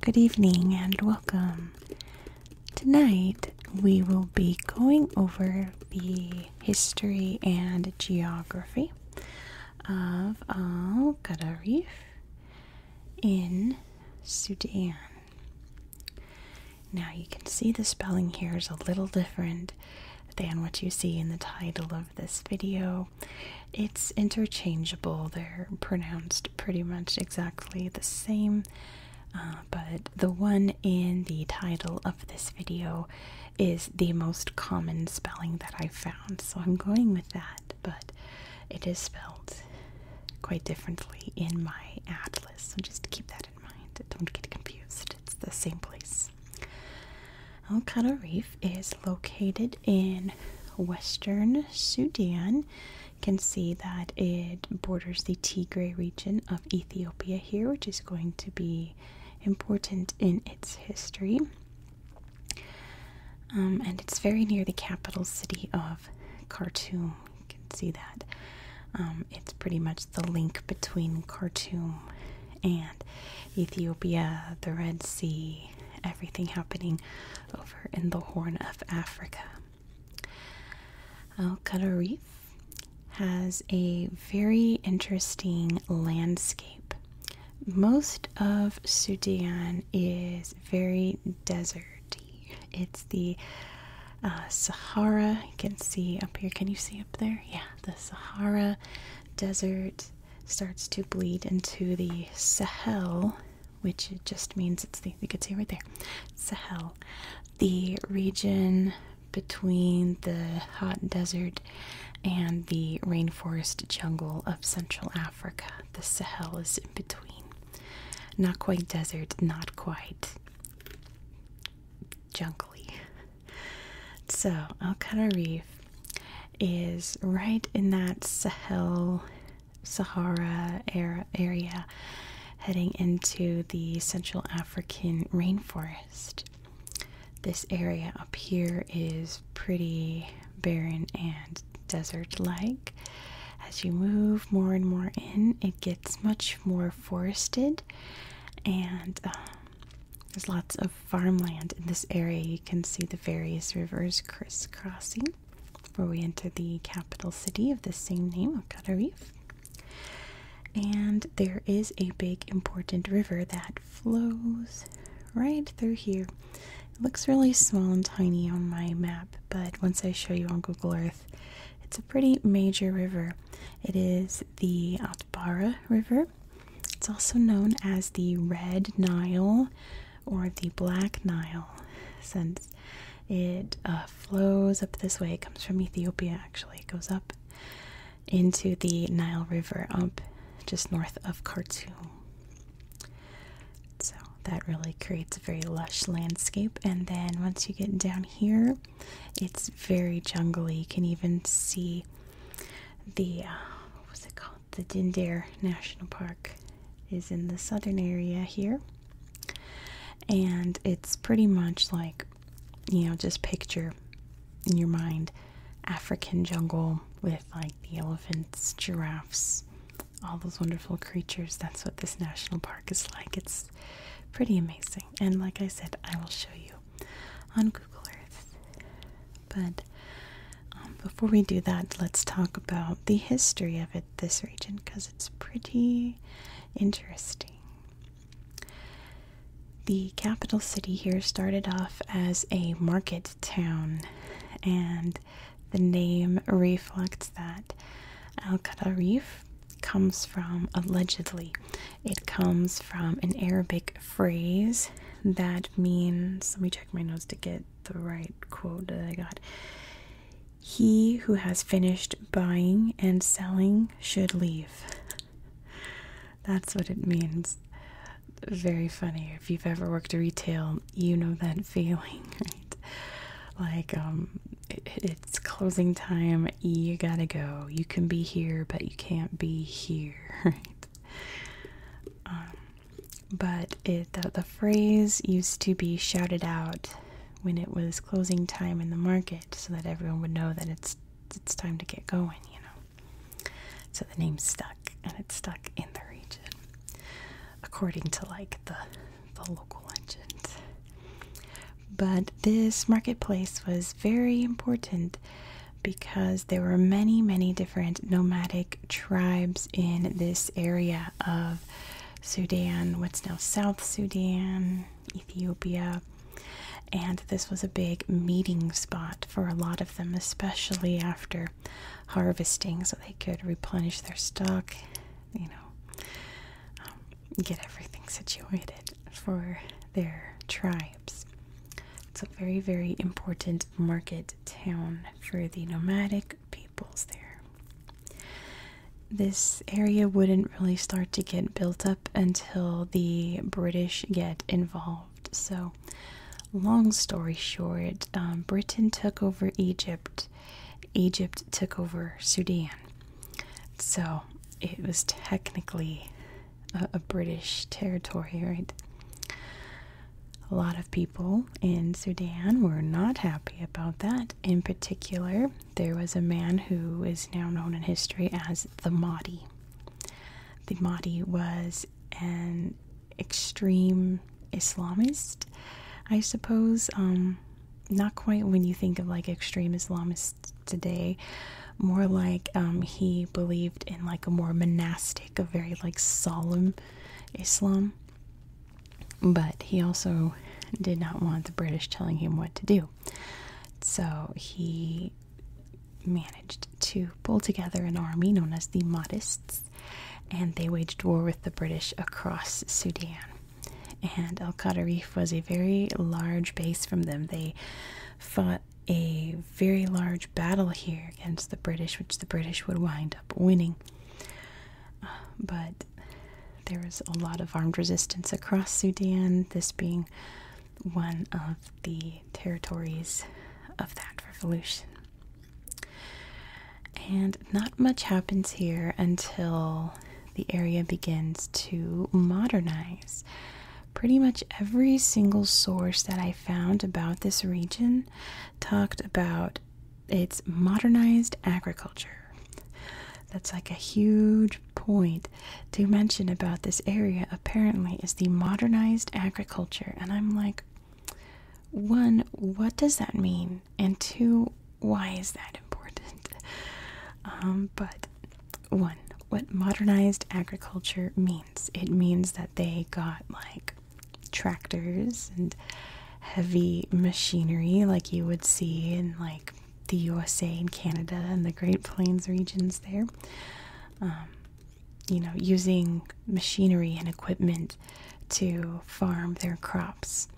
Good evening and welcome. Tonight we will be going over the history and geography of Al Qaddarif in Sudan. Now you can see the spelling here is a little different than what you see in the title of this video. It's interchangeable, they're pronounced pretty much exactly the same, uh, but the one in the title of this video is the most common spelling that I found, so I'm going with that, but it is spelled quite differently in my atlas, so just keep that in mind. Don't get confused, it's the same place. Al Qada Reef is located in western Sudan can see that it borders the Tigray region of Ethiopia here, which is going to be important in its history. Um, and it's very near the capital city of Khartoum. You can see that. Um, it's pretty much the link between Khartoum and Ethiopia, the Red Sea, everything happening over in the Horn of Africa. Al Qudra Reef has a very interesting landscape. Most of Sudan is very deserty. It's the uh, Sahara. You can see up here. Can you see up there? Yeah, the Sahara Desert starts to bleed into the Sahel which just means it's the, you could see right there, Sahel, the region between the hot desert and the rainforest jungle of Central Africa. The Sahel is in between. Not quite desert, not quite jungly. So, Al Reef is right in that Sahel Sahara area heading into the Central African rainforest. This area up here is pretty barren and desert like. As you move more and more in, it gets much more forested, and um, there's lots of farmland in this area. You can see the various rivers crisscrossing where we enter the capital city of the same name of Tenerife. And there is a big important river that flows right through here. It looks really small and tiny on my map, but once I show you on Google Earth, it's a pretty major river. It is the Atbara River. It's also known as the Red Nile or the Black Nile, since it uh, flows up this way. It comes from Ethiopia, actually. It goes up into the Nile River, up just north of Khartoum. So that really creates a very lush landscape. And then once you get down here, it's very jungly. You can even see the uh, what's it called? the Dindare National Park is in the southern area here. And it's pretty much like, you know, just picture in your mind African jungle with like the elephants, giraffes, all those wonderful creatures. That's what this national park is like. It's pretty amazing. And like I said, I will show you on Google Earth. But um, before we do that, let's talk about the history of it, this region, because it's pretty interesting. The capital city here started off as a market town, and the name reflects that. Al Qadariif comes from, allegedly, it comes from an Arabic phrase that means, let me check my notes to get the right quote that I got. He who has finished buying and selling should leave. That's what it means. Very funny. If you've ever worked retail, you know that feeling, right? Like, um, it's closing time, you gotta go. You can be here, but you can't be here, right? Um, but the, phrase used to be shouted out when it was closing time in the market so that everyone would know that it's it's time to get going you know so the name stuck and it stuck in the region according to like the the local legend but this marketplace was very important because there were many, many different nomadic tribes in this area of Sudan, what's now South Sudan, Ethiopia. And this was a big meeting spot for a lot of them, especially after harvesting, so they could replenish their stock, you know, um, get everything situated for their tribes. It's a very, very important market town for the nomadic peoples there. This area wouldn't really start to get built up until the British get involved. So, long story short, um, Britain took over Egypt, Egypt took over Sudan. So, it was technically a, British territory, right? A lot of people in Sudan were not happy about that. In particular, there was a man who is now known in history as the Mahdi. The Mahdi was an extreme Islamist, I suppose. Um, not quite when you think of like extreme Islamists today, more like um, he believed in like a more monastic, a very like solemn Islam. But he also did not want the British telling him what to do. So he managed to pull together an army known as the Mahdists, and they waged war with the British across Sudan. And Al Qadarif was a very large base from them. They fought a very large battle here against the British, which the British would wind up winning. Uh, but there was a lot of armed resistance across Sudan, this being one of the territories of that revolution. And not much happens here until the area begins to modernize pretty much every single source that I found about this region talked about its modernized agriculture. That's like a huge point to mention about this area, apparently, is the modernized agriculture. And I'm like, one, what does that mean? And two, why is that important? Um, but one, what modernized agriculture means. It means that they got like tractors and heavy machinery, like you would see in like the USA and Canada and the Great Plains regions there. Um, you know, using machinery and equipment to farm their crops.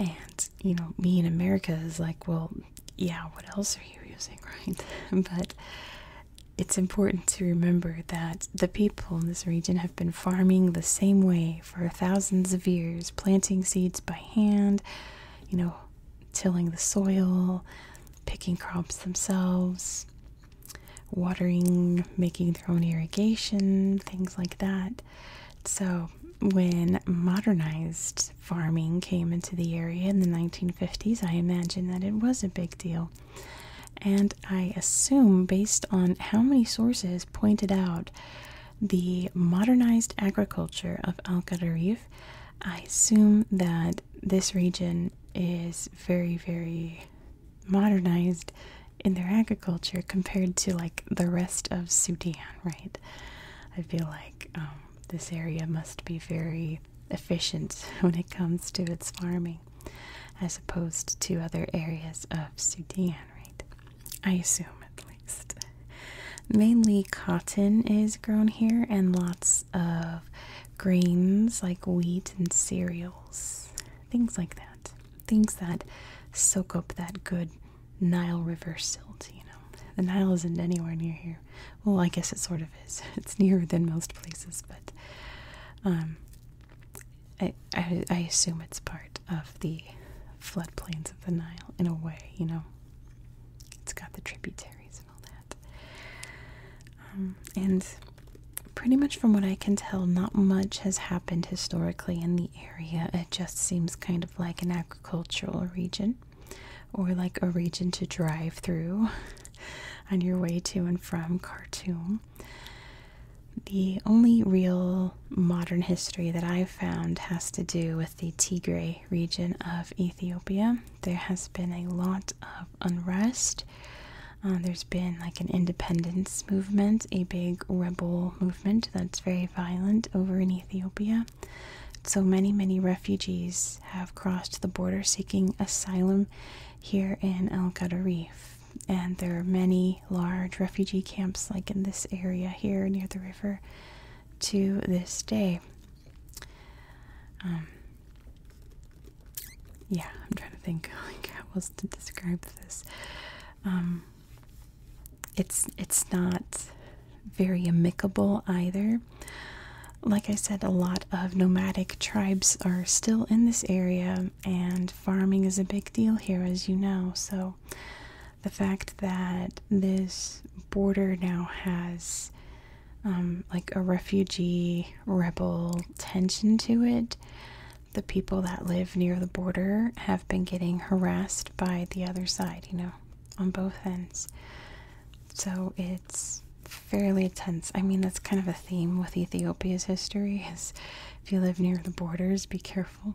And, you know, me in America is like, well, yeah, what else are you using, right? but it's important to remember that the people in this region have been farming the same way for thousands of years, planting seeds by hand, you know, tilling the soil, picking crops themselves, watering, making their own irrigation, things like that. So, when modernized farming came into the area in the 1950s, I imagine that it was a big deal. And I assume, based on how many sources pointed out the modernized agriculture of Al Qadariv, I assume that this region is very, very modernized in their agriculture compared to like the rest of Sudan, right? I feel like um, this area must be very efficient when it comes to its farming as opposed to other areas of Sudan, right? I assume at least. Mainly cotton is grown here and lots of grains like wheat and cereals, things like that. Things that soak up that good Nile River silt, you know. The Nile isn't anywhere near here. Well, I guess it sort of is. It's nearer than most places, but um, I, I, assume it's part of the floodplains of the Nile in a way, you know. It's got the tributaries and all that. Um, and pretty much from what I can tell, not much has happened historically in the area. It just seems kind of like an agricultural region or like a region to drive through on your way to and from Khartoum. The only real modern history that I've found has to do with the Tigray region of Ethiopia. There has been a lot of unrest. Uh, there's been like an independence movement, a big rebel movement that's very violent over in Ethiopia. So many, many refugees have crossed the border seeking asylum here in El Qaddarif. And there are many large refugee camps, like in this area here near the river, to this day. Um, yeah, I'm trying to think like, how else to describe this. Um, it's it's not very amicable either. Like I said, a lot of nomadic tribes are still in this area, and farming is a big deal here, as you know. So, the fact that this border now has um, like a refugee rebel tension to it, the people that live near the border have been getting harassed by the other side, you know, on both ends. So it's fairly tense. I mean, that's kind of a theme with Ethiopia's history is if you live near the borders, be careful.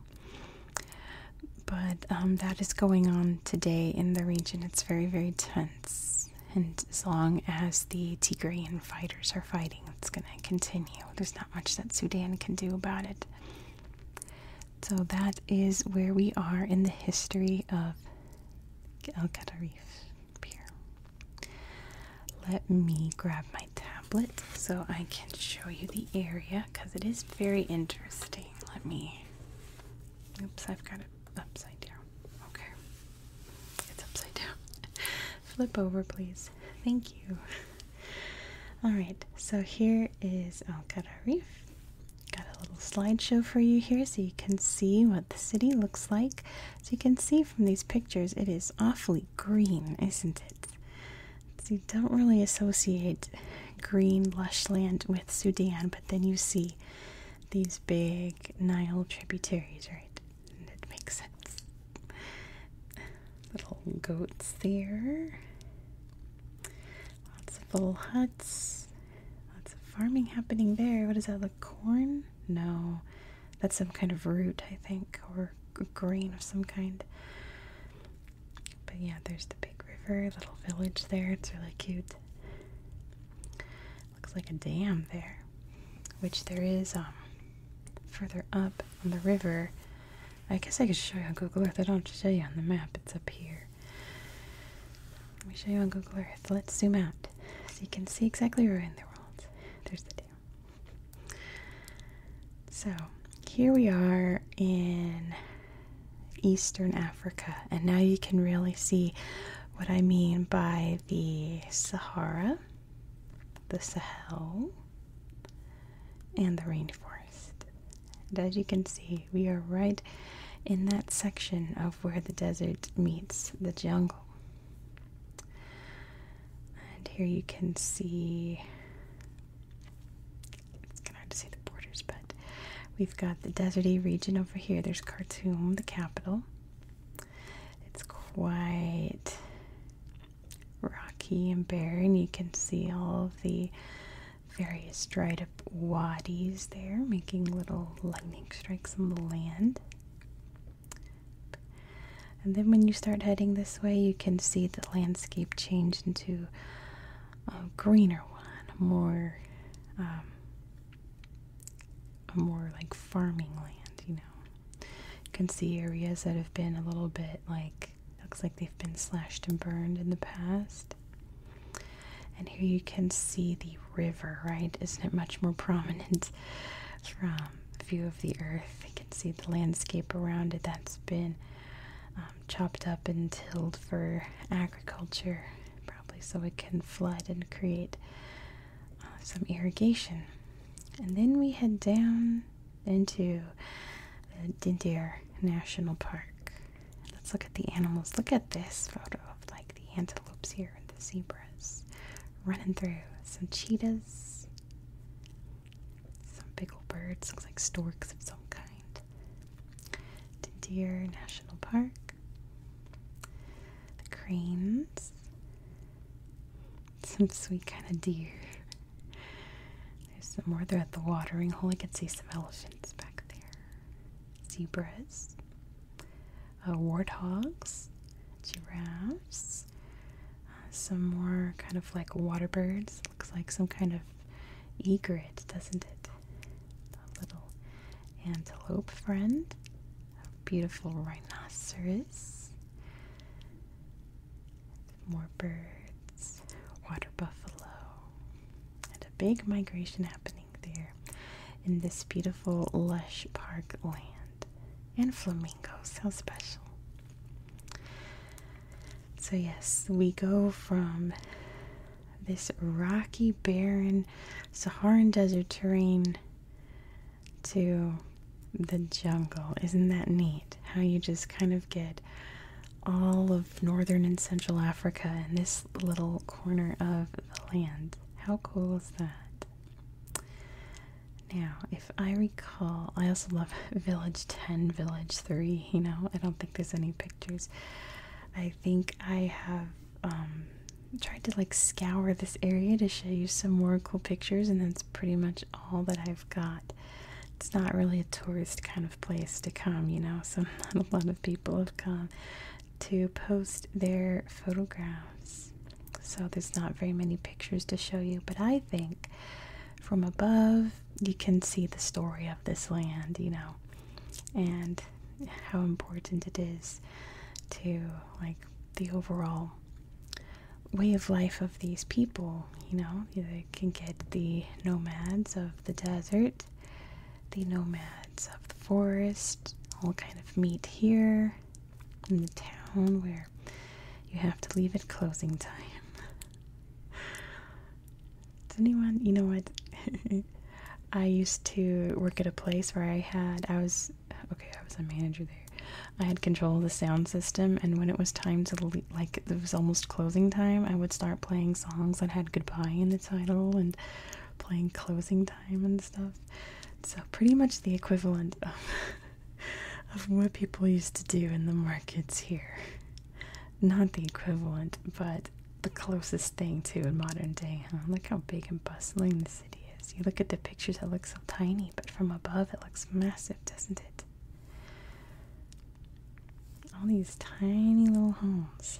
But um, that is going on today in the region. It's very, very tense. And as long as the Tigrayan fighters are fighting, it's going to continue. There's not much that Sudan can do about it. So that is where we are in the history of El Qatarif beer. Let me grab my tablet so I can show you the area because it is very interesting. Let me. Oops, I've got it upside down. Okay. It's upside down. Flip over, please. Thank you. All right, so here is Okara oh, Reef. Got a little slideshow for you here so you can see what the city looks like. So you can see from these pictures, it is awfully green, isn't it? So you don't really associate green, lush land with Sudan, but then you see these big Nile tributaries, right? And makes sense. Little goats there. Lots of little huts. Lots of farming happening there. What is that? The corn? No. That's some kind of root, I think, or grain of some kind. But yeah, there's the big river, little village there. It's really cute. Looks like a dam there, which there is um, further up on the river. I guess I could show you on Google Earth. I don't have to show you on the map. It's up here. Let me show you on Google Earth. Let's zoom out so you can see exactly where in the world. There's the dam. So here we are in Eastern Africa, and now you can really see what I mean by the Sahara, the Sahel, and the rainforest. And as you can see, we are right in that section of where the desert meets the jungle. And here you can see it's kind of hard to see the borders, but we've got the desert region over here. There's Khartoum, the capital. It's quite rocky and barren. You can see all of the various dried up wadis there, making little lightning strikes on the land. And then when you start heading this way, you can see the landscape change into a greener one, more, um, a more like farming land, you know. You can see areas that have been a little bit like Looks like they've been slashed and burned in the past. And here you can see the river, right? Isn't it much more prominent from view of the earth? You can see the landscape around it that's been um, chopped up and tilled for agriculture, probably so it can flood and create uh, some irrigation. And then we head down into Dindir National Park. Let's look at the animals. Look at this photo of like the antelopes here and the zebras running through. Some cheetahs, some big old birds, looks like storks of some kind. Dindir National Park. The cranes. Some sweet kind of deer. There's some more. They're at the watering hole. I can see some elephants back there. Zebras. Uh, warthogs. Giraffes. Uh, some more kind of like water birds. Looks like some kind of egret, doesn't it? A little antelope friend. A beautiful rhinoceros more birds, water buffalo, and a big migration happening there in this beautiful, lush park land. And flamingos, how special. So, yes, we go from this rocky, barren Saharan desert terrain to the jungle. Isn't that neat? How you just kind of get all of northern and central Africa in this little corner of the land. How cool is that? Now, if I recall, I also love Village 10, Village 3, you know, I don't think there's any pictures. I think I have um, tried to like scour this area to show you some more cool pictures, and that's pretty much all that I've got. It's not really a tourist kind of place to come, you know, so not a lot of people have come to post their photographs. So there's not very many pictures to show you, but I think from above you can see the story of this land, you know, and how important it is to like the overall way of life of these people. You know, they can get the nomads of the desert, the nomads of the forest, all kind of meet here in the town where you have to leave at closing time. Does anyone, you know what? I used to work at a place where I had, I was okay, I was a manager there. I had control of the sound system, and when it was time to leave, like it was almost closing time, I would start playing songs that had goodbye in the title and playing closing time and stuff. So pretty much the equivalent of, of what people used to do in the markets here. Not the equivalent, but the closest thing to in modern day, huh? Look how big and bustling the city you look at the pictures, it looks so tiny, but from above, it looks massive, doesn't it? All these tiny little homes.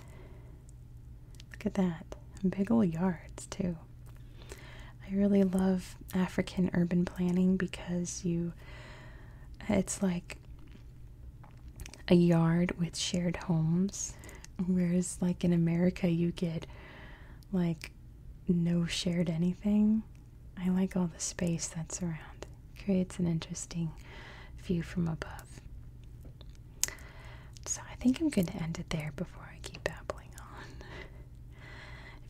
Look at that. Big old yards, too. I really love African urban planning because you, it's like a yard with shared homes. Whereas, like in America, you get like no shared anything. I like all the space that's around. It creates an interesting view from above. So I think I'm going to end it there before I keep babbling on.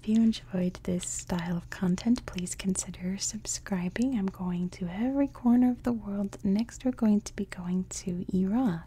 if you enjoyed this style of content, please consider subscribing. I'm going to every corner of the world. Next, we're going to be going to Iraq.